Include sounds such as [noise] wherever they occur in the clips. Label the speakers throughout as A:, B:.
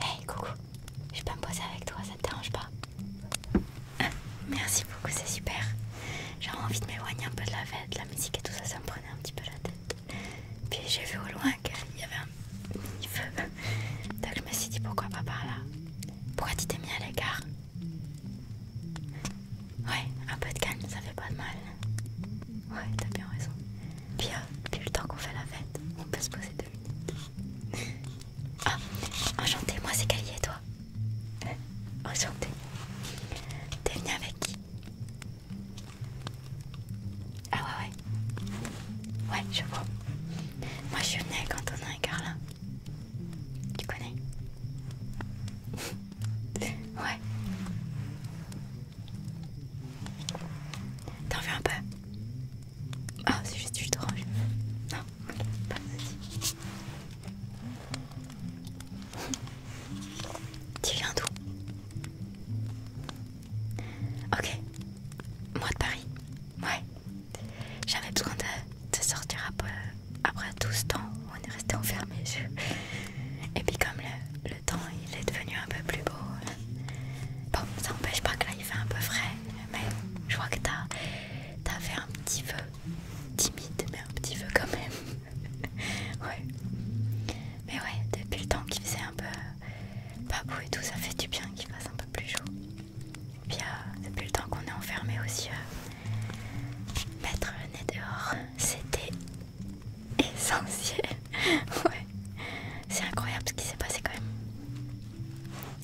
A: Hey, coucou, je pas me poser avec toi, ça te dérange pas ah, Merci beaucoup, c'est super. J'ai envie de m'éloigner un peu de la fête, de la musique et tout ça, ça me prenait un petit peu la tête. Puis j'ai vu au loin qu'il y avait un mini-feu. Donc je me suis dit pourquoi pas par là Pourquoi tu t'es mis à l'écart Ouais, un peu de calme, ça fait pas de mal. Ouais, t'as bien raison. puis depuis euh, le temps qu'on fait la fête, on peut se poser deux minutes. [laughs] Ah, enchanté moi c'est Callie et toi. [laughs] Enchantée. T'es venu avec qui Ah ouais, ouais. Ouais, je vois. Moi je suis venue avec Antonin et Carla. Tu connais [laughs] Ouais. T'en veux un peu Ah, oh, c'est juste du jus Non, pas de [laughs] Tu viens d'où Ok, moi de Paris. Ouais, j'avais besoin de, sortir après, tout ce temps où on est resté enfermé. [laughs] Et puis, comme le, temps il est devenu un peu plus beau. Bon, ça n'empêche pas que là il fait un peu frais, mais je vois que t'as as fait un petit peu Timide, mais un petit peu quand même. [laughs] ouais. Mais ouais, depuis le temps qu'il faisait un peu euh, pas beau et tout, ça fait du bien qu'il fasse un peu plus chaud. Et puis euh, depuis le temps qu'on est enfermé aussi, yeux mettre le nez dehors, c'était essentiel ouais. C'est incroyable ce qui s'est passé quand même.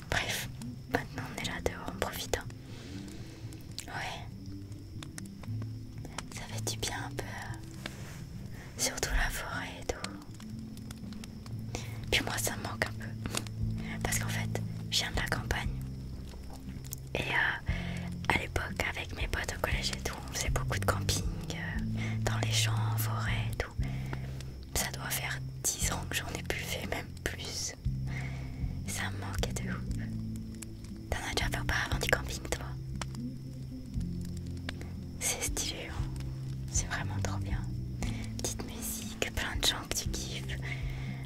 A: Bref, maintenant on est là dehors, en profitant. Hein. Ouais. Ça fait du bien un peu. Euh, surtout la forêt et tout. Puis moi ça me manque un peu. Parce qu'en fait, je viens de la campagne. Et euh, à l'époque, avec mes potes au collège et tout, on faisait beaucoup de camping euh, dans les champs, en forêt, tout. Ça doit faire 10 ans que j'en ai plus fait, même plus. Ça me manquait de ouf. T'en as déjà fait avant du camping, toi C'est stylé, hein. c'est vraiment trop bien. Petite musique, plein de gens que tu kiffes,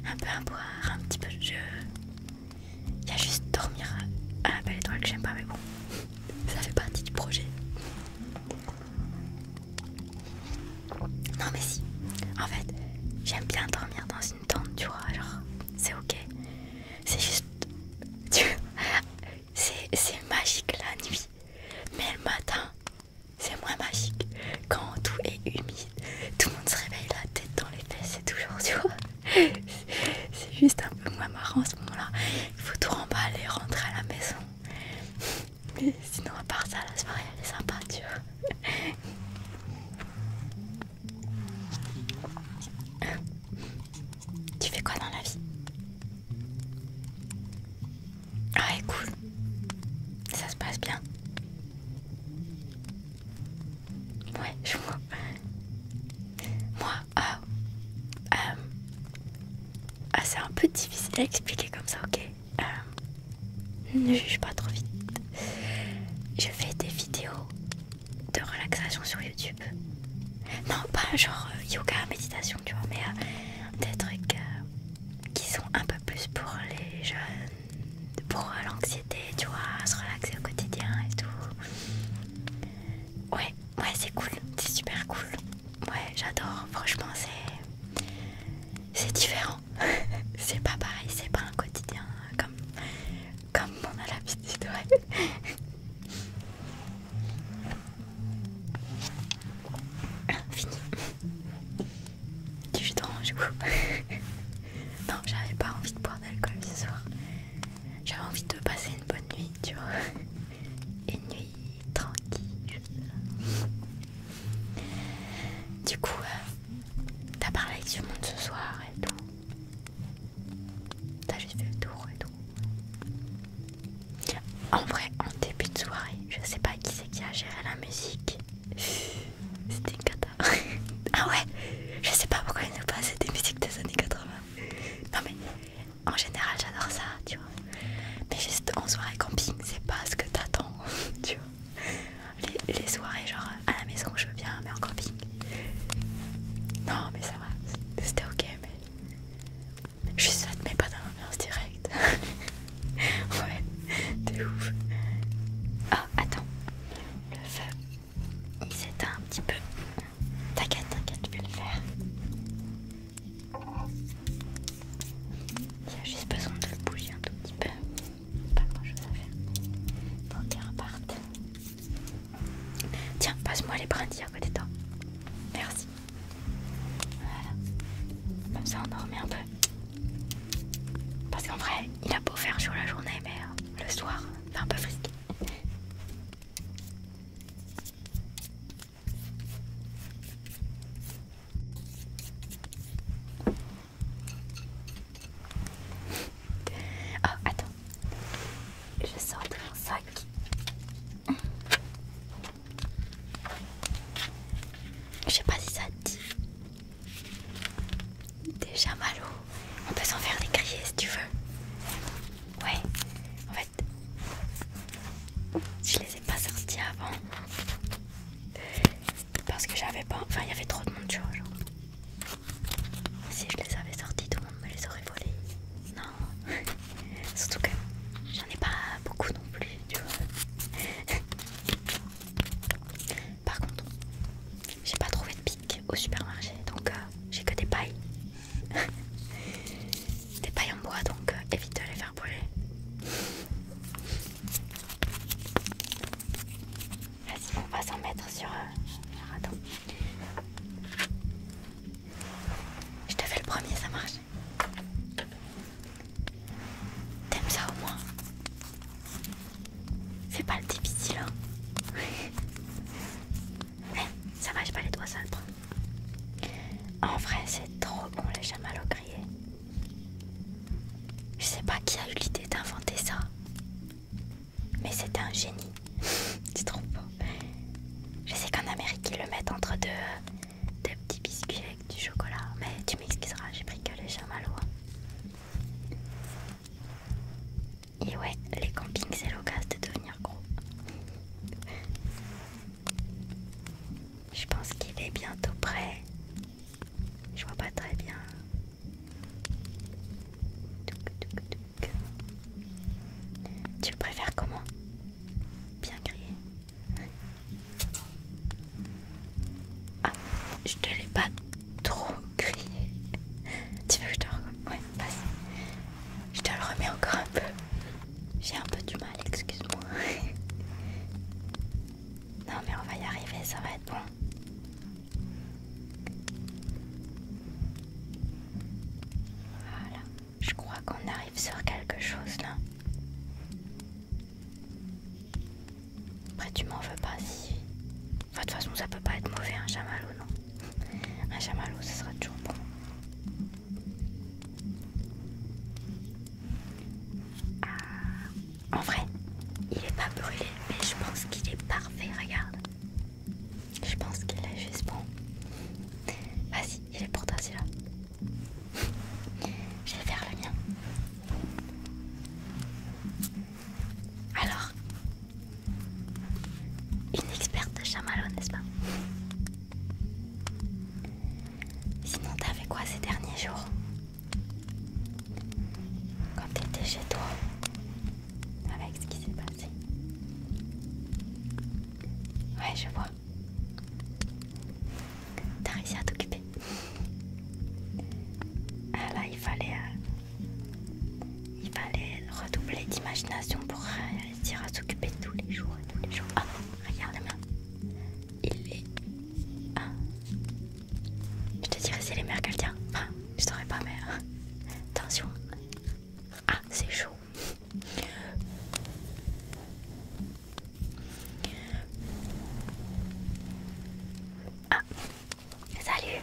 A: un peu à boire, un petit peu de jeu. Il y a juste dormir à la belle étoile que j'aime pas, mais bon ça fait partie du projet. Non mais si, en fait, j'aime bien dormir dans une tente, tu vois, genre c'est ok. C'est juste, tu c'est magique la nuit, mais le matin, c'est moins magique. Quand tout est humide, tout le monde se réveille la tête dans les fesses et toujours, tu vois. [laughs] c'est juste un peu moins marrant à ce moment-là. Il faut tout remballer et rentrer à la maison. Mais sinon, à part ça, la soirée elle est sympa, tu vois. Hein tu fais quoi dans la vie Ah, ouais, cool. Ça se passe bien. Ouais, je vois. Moi, euh, euh, ah, c'est un peu difficile à expliquer comme ça, ok euh, Ne juge pas trop vite. Je fais des vidéos de relaxation sur YouTube. Non, pas genre yoga, méditation, tu vois, mais des trucs qui sont un peu plus pour les jeunes, pour l'anxiété, tu vois, se relaxer au quotidien et tout. Ouais, ouais, c'est cool, c'est super cool. Ouais, j'adore, franchement, c'est. C'est différent. [laughs] c'est pas pareil, c'est pas un quotidien euh, comme, comme on a l'habitude, ouais. ah, [laughs] fini. Du jus [laughs] Non, j'avais pas envie de boire d'alcool ce soir. J'avais envie de passer une bonne nuit, tu vois une nuit tranquille. Du coup, euh, t'as parlé avec tout le monde ce soir et tout. T'as juste fait le tour et tout. En vrai, en début de soirée, je sais pas qui c'est qui a géré la musique. C'était une cata. [laughs] ah ouais, je sais pas pourquoi ils nous passaient des musiques des années 80. Non mais en général, j'adore ça, tu vois. Mais juste en soirée camping, c'est pas ce que t'attends, [laughs] tu vois. Les, soirées, genre à la maison, je veux bien, mais en camping. Non, mais ça va, c'était ok, mais. Je suis saute, mais pas dans l'ambiance directe. [laughs] ouais, t'es ouf. Oh, attends, le feu il s'éteint un petit peu. T'inquiète, t'inquiète, tu peux le faire. Il y a juste besoin de bouger un tout petit peu. Pas grand chose à faire. Bon, qu'il reparte. Tiens, passe-moi les brindilles à côté de toi. Merci. Voilà. Comme ça, on en un peu. Parce qu'en vrai, il a beau faire chaud la journée, mais euh, le soir, c'est un peu frisqué. Oh, attends, je sors de mon sac. Je sais pas si ça dit. Déjà, malou. on peut s'en faire des grilles, si tu veux. Ouais, je les ai pas sortis avant parce que j'avais pas. Enfin, il y avait trop de monde, tu vois. Si je les avais sortis, tout le monde me les aurait volés. Non, [laughs] surtout que j'en ai pas beaucoup non plus, tu vois. Par contre, j'ai pas trouvé de pique au supermarché donc euh, j'ai que des pailles des pailles en bois donc euh, évite de les faire brûler. Vas-y, on va s'en mettre sur le euh, raton. Je te fais le premier, ça marche. T'aimes ça au moins Fais pas le difficile. Hein ça va, j'ai pas les doigts simples. En vrai, c'est trop bon les chamallows grillés. Je sais pas qui a eu l'idée d'inventer ça. Mais c'est un génie. [laughs] c'est trop beau. Je sais qu'en Amérique, ils le mettent entre deux, deux petits biscuits avec du chocolat. Mais tu m'excuseras, j'ai pris que les chamallows. Et ouais, les campings c'est l'occasion de devenir gros. Je pense qu'il est bientôt prêt. Je vois pas très bien. Tu préfères comment Bien crier. Ah, je te l'ai pas trop crié. Tu veux que je te je te le remets encore un peu. J'ai un peu du mal, excuse-moi. [laughs] non mais on va y arriver, ça va être bon. Voilà, je crois qu'on arrive sur quelque chose là. Après tu m'en veux pas si... Enfin de toute façon ça peut pas être mauvais, un hein, Jamal non un chamallow, ce sera toujours bon. Ah, en vrai, il est pas brûlé, mais je pense qu'il est parfait, regarde. Je pense qu'il est juste bon. Vas-y, il est pour toi celui-là. je vais faire le mien. Alors, une experte de chamallow, n'est-ce pas Sinon, t'as fait quoi ces derniers jours Quand t'étais chez toi Avec ce qui s'est passé Ouais, je vois. T'as réussi à t'occuper. Ah là, il fallait, euh, il fallait redoubler d'imagination pour réussir à s'occuper tous les jours tous les jours. Ah, regarde moi Il est. Je te dirais c'est les mères qu'elle tient. Ah, je t'aurais pas, mère. Attention. Ah, c'est chaud. Ah, salut.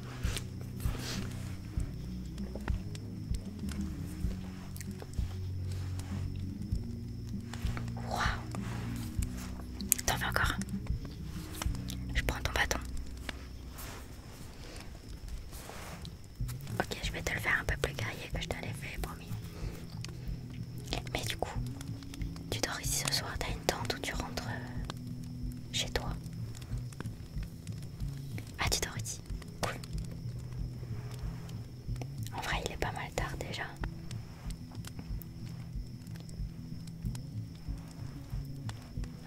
A: Waouh T'en veux encore Je prends ton bâton. Ok, je vais te le faire un peu plus guerrier que je t'avais fait, promis. Mais du coup, tu dors ici ce soir, t'as une tente ou tu rentres euh, chez toi. Ah, tu Dorothy, cool. En vrai, il est pas mal tard déjà.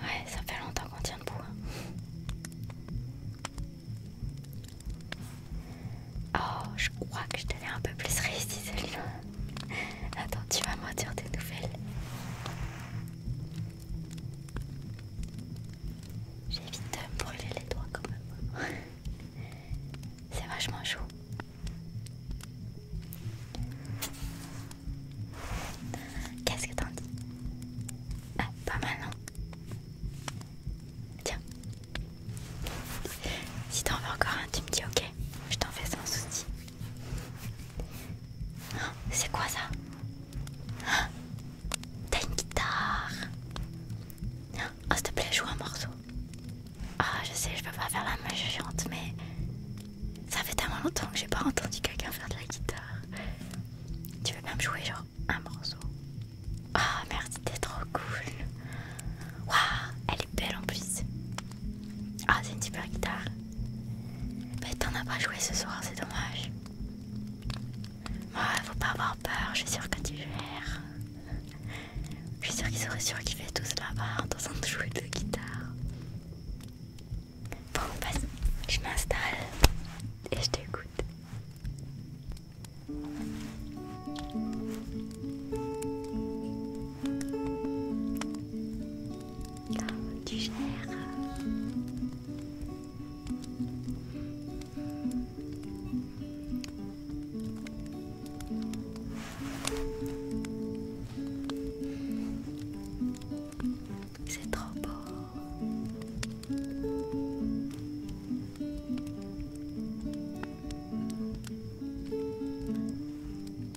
A: Ouais, ça fait longtemps qu'on tient debout. Hein. Oh, je crois que je te un peu plus réussie celui-là. Attends, tu vas me dire des nouvelles. J'évite de euh, me brûler les doigts quand même. [laughs] C'est vachement chaud. Qu'est-ce que t'en dis ah, pas mal non Tiens. Si t'en veux encore un, tu me dis ok. Je t'en fais sans souci. C'est quoi ça T'as une guitare Oh s'il te plaît joue un morceau Ah je sais je peux pas faire la main géante, mais ça fait tellement longtemps que j'ai pas entendu quelqu'un faire de la guitare Tu veux même jouer genre un morceau Ah merde, merci t'es trop cool Waouh elle est belle en plus ah, c'est une super guitare. Mais bah, t'en as pas joué ce soir, c'est dommage. Ouais, faut pas avoir peur, je suis sûre que tu gères. Je suis sûre qu'ils auraient qu'il fait là-bas en train de jouer de guitare. Bon, bah je m'installe et je t'écoute tu gères. C'est trop beau. Oh,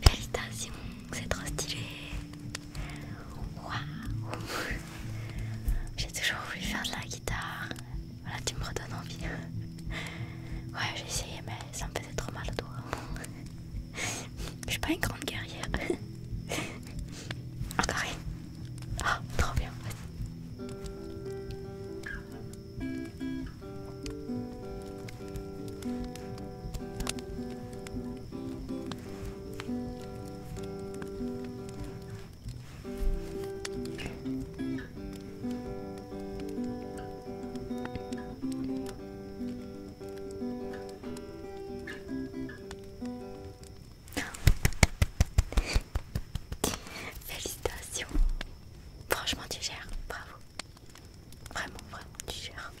A: félicitations, c'est trop stylé. [laughs] J'ai toujours voulu faire de la guitare. Voilà, tu me redonnes envie. [laughs] Ouais, j'ai essayé, mais ça me faisait trop mal à toi. [laughs] Je suis pas une grande guerrière. [laughs] Encore Ah, trop bien. Félicitations. Franchement, tu gères. Bravo. Vraiment, vraiment, tu gères.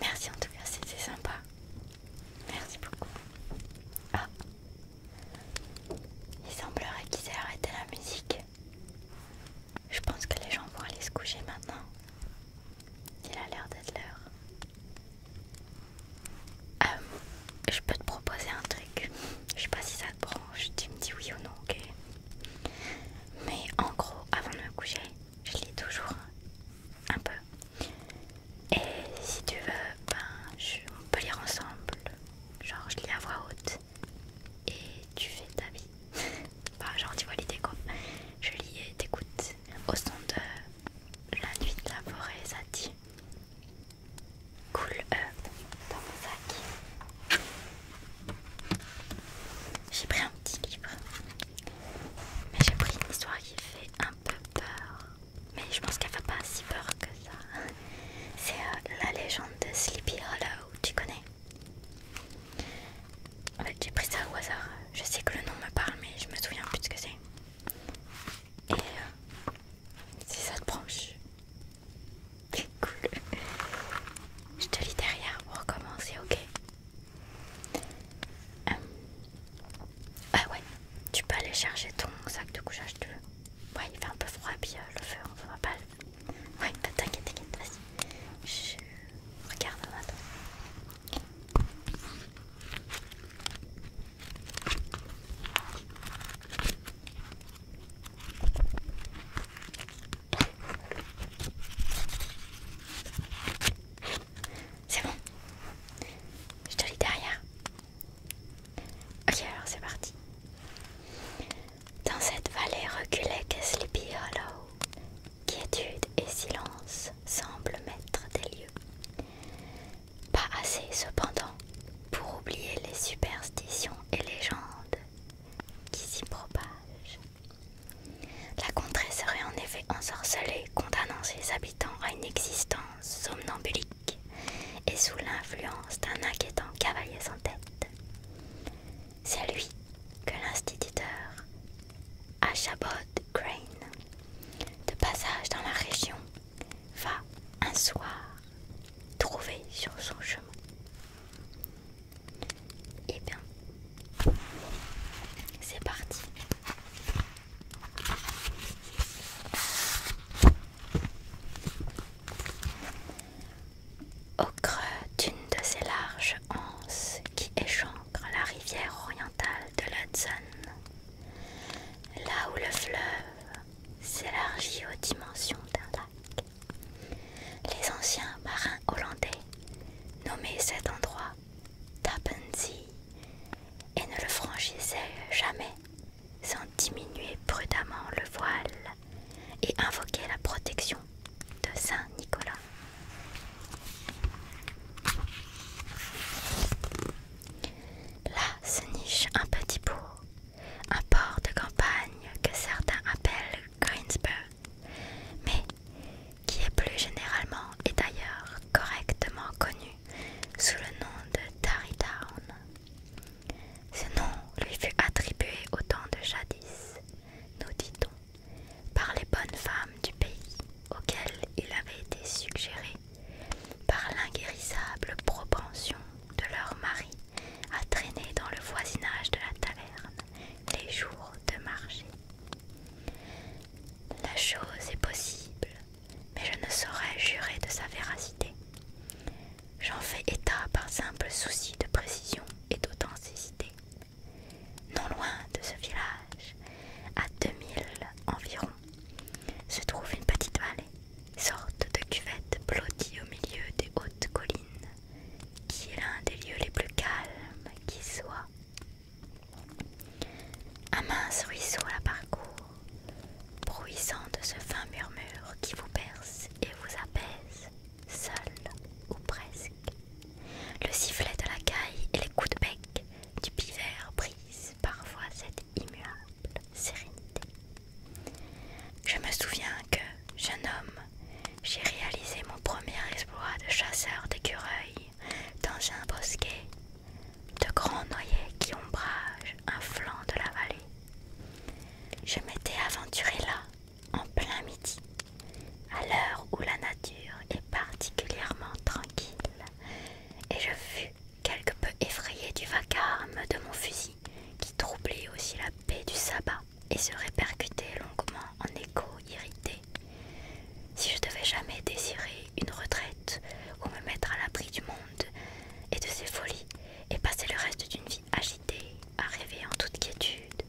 A: Merci en tout cas, c'était sympa. Merci beaucoup. Ah, il semblerait qu'ils aient arrêté la musique. Je pense que les gens vont aller se coucher maintenant. Il a l'air d'être l'heure. Euh, je peux te proposer un truc. Je sais pas si ça te branche, tu me dis oui ou non, ok Mais en gros, avant de me coucher, je lis toujours un peu. Et si tu veux, ben, on peut lire ensemble. Genre, je lis à voix haute et tu fais ta vie. bah [laughs] genre, tu vois l'idée quoi. Je lis et t'écoutes au son de la nuit de la forêt, ça dit. Cool up euh, dans mon sac. J'ai pris un petit livre, mais j'ai pris une histoire qui fait un peu peur. Mais je pense qu'elle fait pas si peur que ça. C'est euh, la légende de Sleepy Hollow, tu connais j'ai pris ça au hasard. Je sais que le nom me parle, mais je me souviens plus de ce que c'est. Et euh, si ça te branche, cool. Je te lis derrière pour recommencer, ok euh, Ah ouais, tu peux aller chercher ton sac de couchage, tu veux Ouais, il fait un peu froid, puis euh, le feu, on voit pas le. Ouais, t'inquiète, t'inquiète, vas-y. Je regarde maintenant. C'est bon, je te lis derrière. Ok, c'est parti. Dans cette vallée reculée qu'est Sleepy Hollow, quiétude et silence semblent mettre des lieux. Pas assez cependant pour oublier les superstitions et légendes qui s'y propagent. La contrée serait en effet ensorcelée, condamnant ses habitants à une existence somnambulique et sous l'influence d'un inquiétant cavalier sans tête. C'est lui que l'instituteur Ashabod Crane, de passage dans la région, va un soir trouver sur son chemin. Eh bien, c'est parti. Au creux d'une de ces larges anses qui échancrent la rivière orientale de l'Hudson, là où le fleuve s'élargit aux dimensions d'un lac, les anciens marins hollandais nommaient cet endroit Tapanzi et ne le franchissaient jamais sans diminuer prudemment le voile et invoquer la protection de Saint Nicolas. Là se niche un petit bourg, un port de campagne que certains appellent Greensburg, mais qui est plus généralement et d'ailleurs correctement connu sous le nom de Tarrytown. Ce nom lui fut attribué au temps de jadis, nous dit-on, par les bonnes femmes du pays auxquelles il avait été suggéré par l'inguérissable propension de leur mari à traîner dans le voisinage de la taverne les jours de marché. La chose est possible mais je ne saurais jurer de sa véracité. J'en fais état par simple souci de précision et d'authenticité. Non loin de ce village, à 2000 environ, se trouve une petite vallée, sorte de cuvette blottie au milieu des hautes collines, qui est l'un des lieux les plus calmes qui soient. Un mince ruisseau la parcourt, bruissant de ce fin murmure qui vous perce et vous apaise, seul ou presque. Le sifflet de la caille et les coups de bec du pivert brisent parfois cette immuable sérénité. Je me souviens que, jeune homme, j'ai réalisé mon premier exploit de chasseur d'écureuils dans un bosquet de grands noyers qui ombragent un flanc de la vallée je m'étais aventuré là, en plein midi, à l'heure où la nature est particulièrement tranquille, et je fus quelque peu effrayé du vacarme de mon fusil, qui troublait aussi la paix du sabbat et se répercutait longuement en écho irrité. Si je devais jamais désirer une retraite ou me mettre à l'abri du monde, et de ses folies et passer le reste d'une vie agitée à rêver en toute quiétude.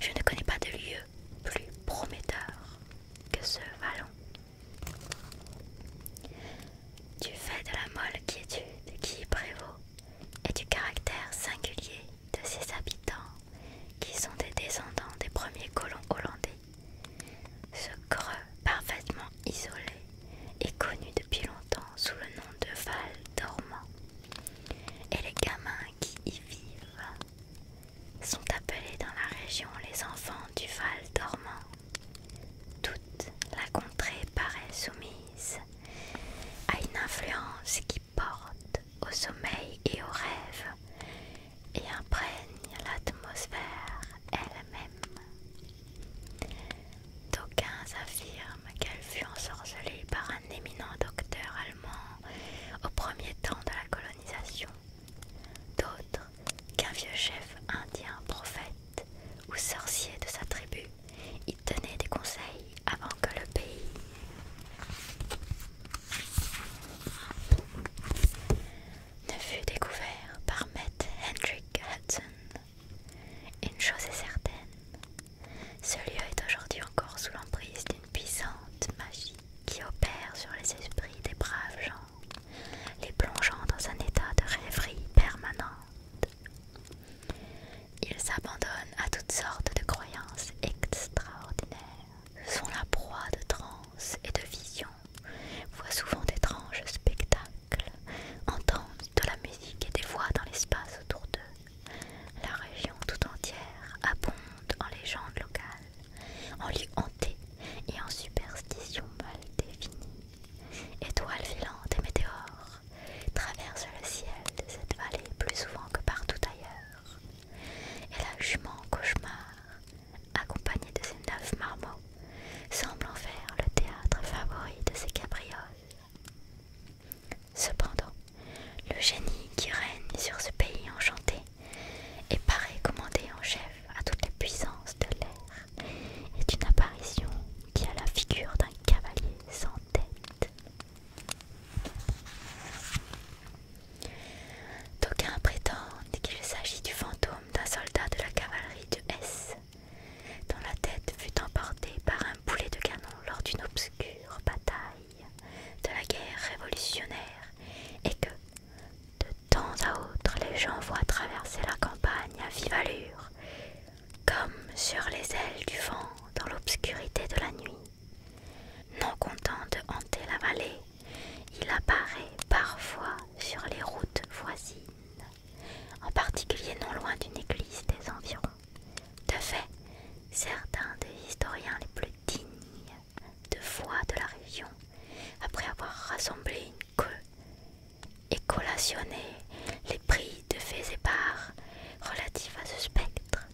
A: Je ne connais pas de lieu plus prometteur que ce vallon. Du fait de la molle quiétude qui y prévaut et du caractère singulier de ses habitants qui sont des descendants des premiers colons hollandais. Ce creux parfaitement isolé est connue depuis longtemps sous le nom de Val Dormant et les gamins qui y vivent sont appelés dans la région les enfants du Val Dormant. Toute la contrée paraît soumise à une influence qui porte au sommeil et au rêve et imprègne l'atmosphère elle-même. D'aucuns affirment qu'elle fut ensorcelée par un éminent docteur allemand au premier temps de la colonisation, d'autres qu'un vieux chef indien prophète ou sorcier de sa tribu y tenait des conseils avant que le pays ne fut découvert par Maître Hendrik Hudson une chose est certaine, ce lieu est aujourd'hui encore sous l'emprise d'une puissante magie qui opère sur les esprits des braves gens, les plongeant dans un état de rêverie permanente. Ils s'abandonnent à toutes sortes de croyances extraordinaires, sont la proie de transes et de visions voit souvent d'étranges spectacles, entendent de la musique et des voix dans l'espace autour d'eux. La région tout entière abonde en légendes locales, en lieux hantés et en superstitions mal définies. Étoiles filantes et météores traversent le ciel de cette vallée plus souvent que partout ailleurs. Et la jument cauchemar, accompagnée de ses neuf marmots, semble en faire le théâtre favori de ses cabrioles. Cependant, le génie qui règne sur ce pays enchanté et paraît commander en chef à toutes les puissances de l'air est une apparition qui a la figure d'un cavalier sans tête. D'aucuns prétendent qu'il s'agit du fantôme d'un soldat de la cavalerie de S, dont la tête fut emportée par un boulet de canon lors d'une obscure bataille de la guerre révolutionnaire et que, de temps à autre, les gens voient traverser la campagne à vive allure, comme sur les ailes du vent dans l'obscurité de la nuit. Non content de hanter la vallée, il apparaît parfois sur les routes voisines en particulier non loin d'une église des environs. De fait, certains des historiens les plus dignes de foi de la région, après avoir rassemblé une queue et collationné les prix de faits et parts relatifs à ce spectre,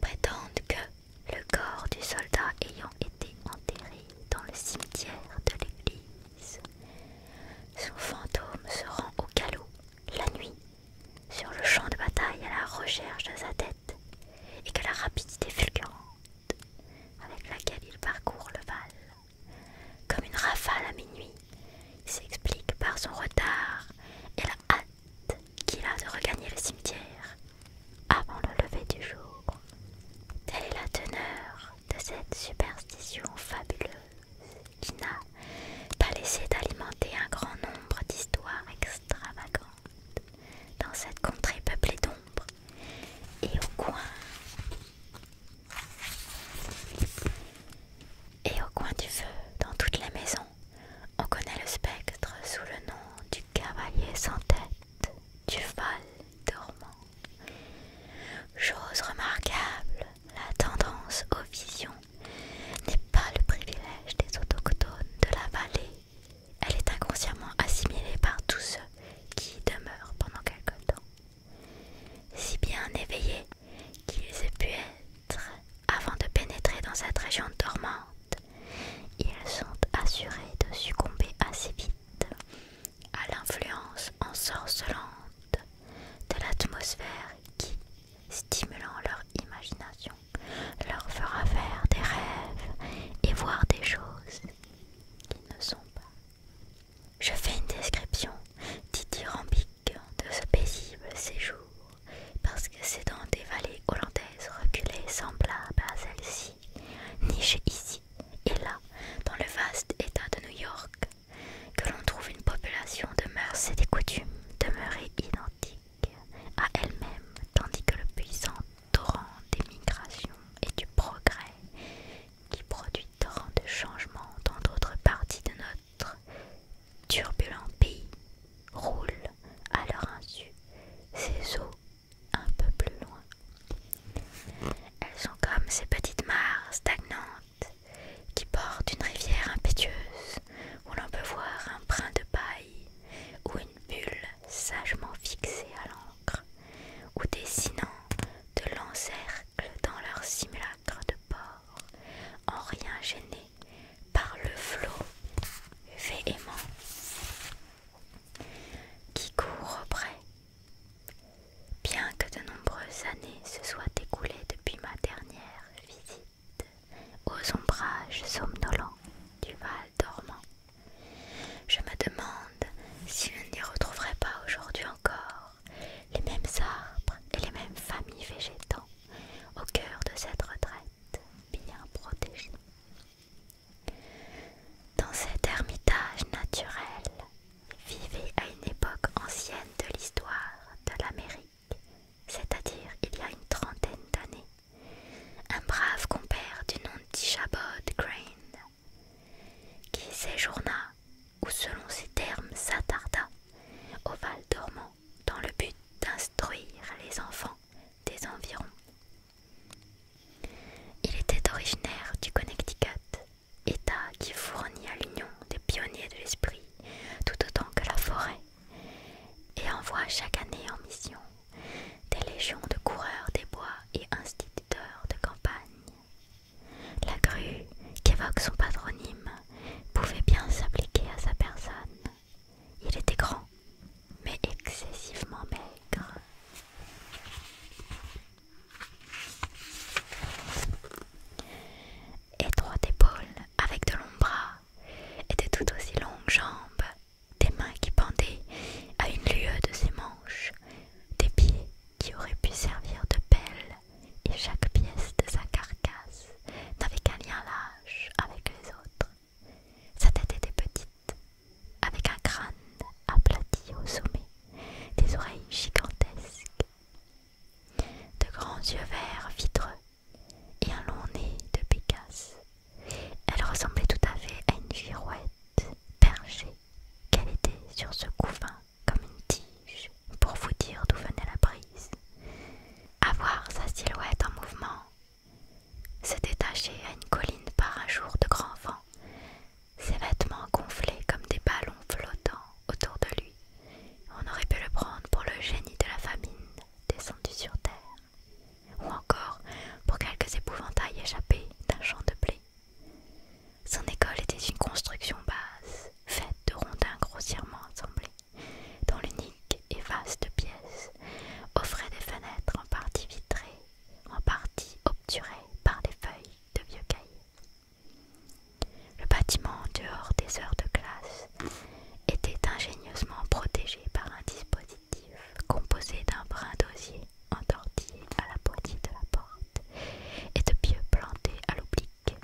A: prétendent que le corps du soldat ayant été enterré dans le cimetière de l'église son fantôme se rend au galop, la nuit, sur le champ de bataille à la recherche de sa tête, et que la rapidité fulgurante avec laquelle il parcourt le val, comme une rafale à minuit, s'explique par son retard et la hâte qu'il a de regagner le cimetière avant le lever du jour. Telle est la teneur de cette superstition fabuleuse qui n'a pas laissé d'alimenter un grand nombre d'histoires extravagantes dans cette contrée peuplée d'ombres et au coin et au coin du feu dans toutes les maisons on connaît le spectre sous le nom du cavalier sans tête du Val dormant. Chose remarquable, la tendance aux visions n'est pas le privilège des autochtones de la vallée. Elle est inconsciemment assimilée par tous ceux qui demeurent pendant quelque temps. Si bien éveillés qu'ils aient pu être avant de pénétrer dans cette région dormante, ils sont assurés de succomber assez vite à l'influence ensorcelante de l'atmosphère qui, stimulant leur imagination, leur fera faire des rêves et voir des choses qui ne sont pas. Je fais une description dithyrambique de ce paisible séjour parce que c'est dans des vallées hollandaises reculées semblables à celles ci nichées ici et là, dans le vaste état de New York, que l'on trouve une population de mœurs et des coutumes demeurées identiques à elle-même, tandis que le puissant torrent des migrations et du progrès, qui produit tant de changements dans d'autres parties de notre turbulent pays, roule à leur insu ses eaux un peu plus loin. Elles sont comme ces petites mares stagnantes qui portent une rivière impétueuse où l'on peut voir un brin de paille ou une bulle sagement fixée à l'encre ou dessinant de longs cercles dans leur simulacre de port, en rien gêné par le flot véhément qui court près. Bien que de nombreuses années se soient écoulées depuis ma dernière visite aux ombrages somnolents du Val dormant, je me demande si je n'y retrouverai pas aujourd'hui encore les mêmes arbres et les mêmes familles végétales au cœur de cette retraite bien protégée. Dans cet ermitage naturel vivait à une époque ancienne de l'histoire de l'Amérique, c'est-à-dire il y a une trentaine d'années, un brave compère du nom de d'Ichabod Crane, qui séjourna, ou selon ses termes s'attarda, au Val dormant dans le but d'instruire les enfants des environs il était originaire du Connecticut, état qui fournit à l'Union des pionniers de l'esprit tout autant que la forêt, et envoie chaque année en mission des légions de coureurs des bois et instituteurs de campagne. La grue, qu'évoque son patronyme, pouvait bien s'appliquer à sa personne. Il était grand, mais excessivement maigre. Étroite épaule avec de longs bras et de tout aussi longues jambes, des mains qui pendaient à une lieue de ses manches, des pieds qui auraient pu servir de pelle, et chaque pièce de sa carcasse n'avait qu'un lien lâche avec les autres. Sa tête était petite, avec un crâne aplati au sommet, des oreilles gigantesques, de grands yeux verts vitreux et un long nez de Picasse. Elle ressemblait tout à fait à une girouette perchée qu'elle était sur ce couvent comme une tige pour vous dire d'où venait la brise. Avoir sa silhouette en mouvement, se détacher à une colline par un jour de grand vent, ses vêtements gonflaient comme des ballons flottants autour de lui. On aurait pu le prendre pour le génie de la famine descendu sur terre, ou encore pour quelques épouvantails échappés d'un champ de blé. Son école était une construction basse, faite de rondins grossièrement assemblés, dont l'unique et vaste pièce offrait des fenêtres en partie vitrées en partie obturée par les feuilles de vieux cahiers. Le bâtiment, en dehors des heures de classe, était ingénieusement protégé par un dispositif composé d'un brin d'osier entortillé à la poignée de la porte et de pieux plantés à l'oblique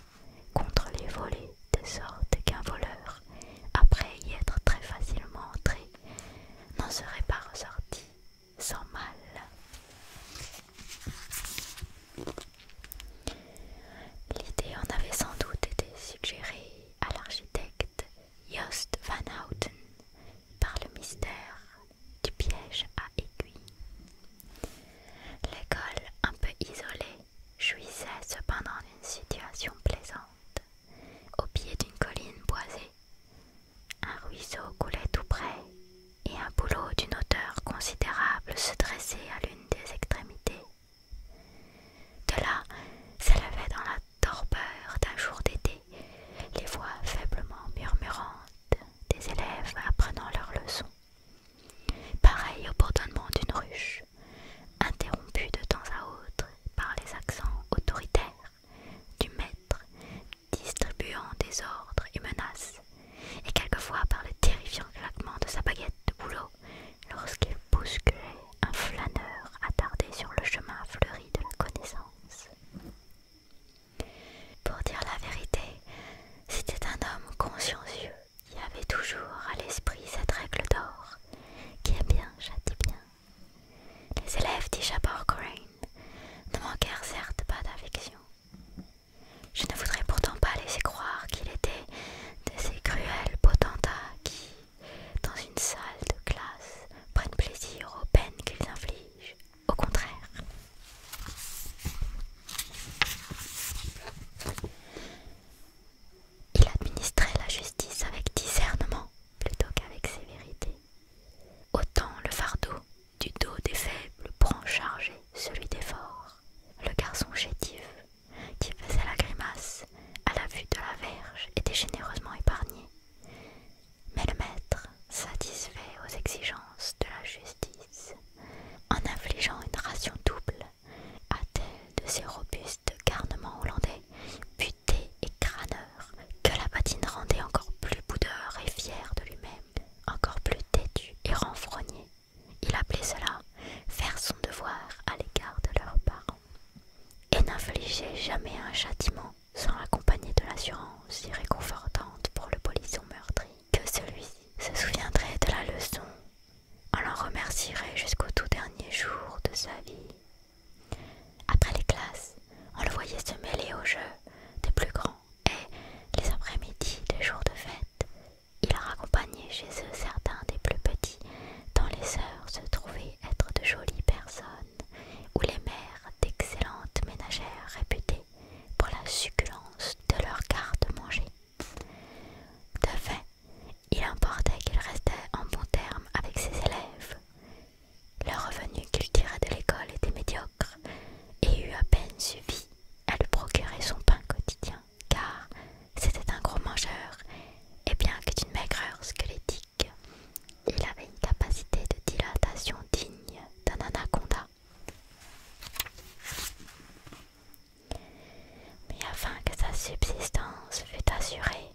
A: contre les volets, de sorte qu'un voleur, après y être très facilement entré, n'en serait pas ressorti sans mal. L'idée en avait sans doute été suggérée à l'architecte Jost van Houten par le mystère du piège à aiguille. L'école, un peu isolée, jouissait cependant d'une situation plaisante, au pied d'une colline boisée un ruisseau coulait tout près, et un boulot d'une hauteur considérable se dressait à l'une des extrémités. De là s'élevaient dans la torpeur d'un jour d'été les voix faiblement murmurantes des élèves apprenant leurs leçons, Pareil au bourdonnement d'une ruche, interrompue de temps à autre par les accents autoritaires du maître, distribuant des ordres et menaces, et quelquefois par le terrifiant claquement de sa baguette de boulot lorsqu'il bousculait un flâneur attardé sur le chemin fleuri de la connaissance. Pour dire la vérité, c'était un homme consciencieux qui avait toujours à l'esprit cette règle d'or qui est bien châtie bien les élèves d'Ishapore Crane ne manquèrent certes pas d'affection. Je ne voudrais pourtant pas laisser croire qu'il était de ces cruels potentats qui, dans une salle de classe, prennent plaisir aux peines qu'ils infligent. Au contraire. Il administrait la justice avec discernement plutôt qu'avec sévérité. Autant le fardeau du dos des faibles prend chargé celui des forts. Le garçon chétif, qui faisait la grimace à la vue de la verge, était généreusement épargné. Mais le maître satisfait aux exigences de la justice en infligeant une ration double à tel de ses robustes garnements hollandais, et crâneur que la patine rendait encore plus boudeur et fier de lui-même, encore plus têtu et renfrogné. Il appelait cela faire son devoir à l'égard de leurs parents et n'infligeait jamais un châtiment sans l'accompagner de l'assurance si réconfortante pour le polisson meurtri que celui-ci se souviendrait de la leçon, en l'en remercierait jusqu'au tout dernier jour de sa vie après les classes, on le voyait se mêler aux jeux des plus grands et, les après-midi des jours de fête, il raccompagnait chez eux certains des plus petits, dont les sœurs se trouvaient être de jolies personnes, ou les mères d'excellentes ménagères réputées pour la succulence de leurs garde-manger. De fait, il importait qu'il restait en bon terme avec ses élèves, le revenu qu'il tirait de l'école était médiocre et eut à peine suivi à lui procurer son pain quotidien, car c'était un gros mangeur, et bien que d'une maigreur squelettique, il avait une capacité de dilatation digne d'un anaconda. Mais afin que sa subsistance fût assurée,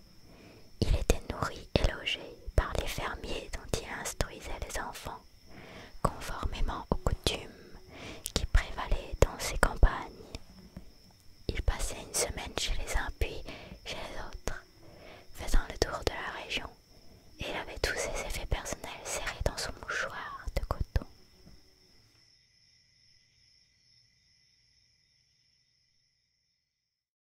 A: il était nourri et logé par les fermiers dont il instruisait les enfants, conformément aux coutumes qui prévalaient dans ses campagnes. Il passait une semaine chez les uns puis chez les autres, faisant le tour de la région, et il avait tous ses effets personnels serrés dans son mouchoir de coton.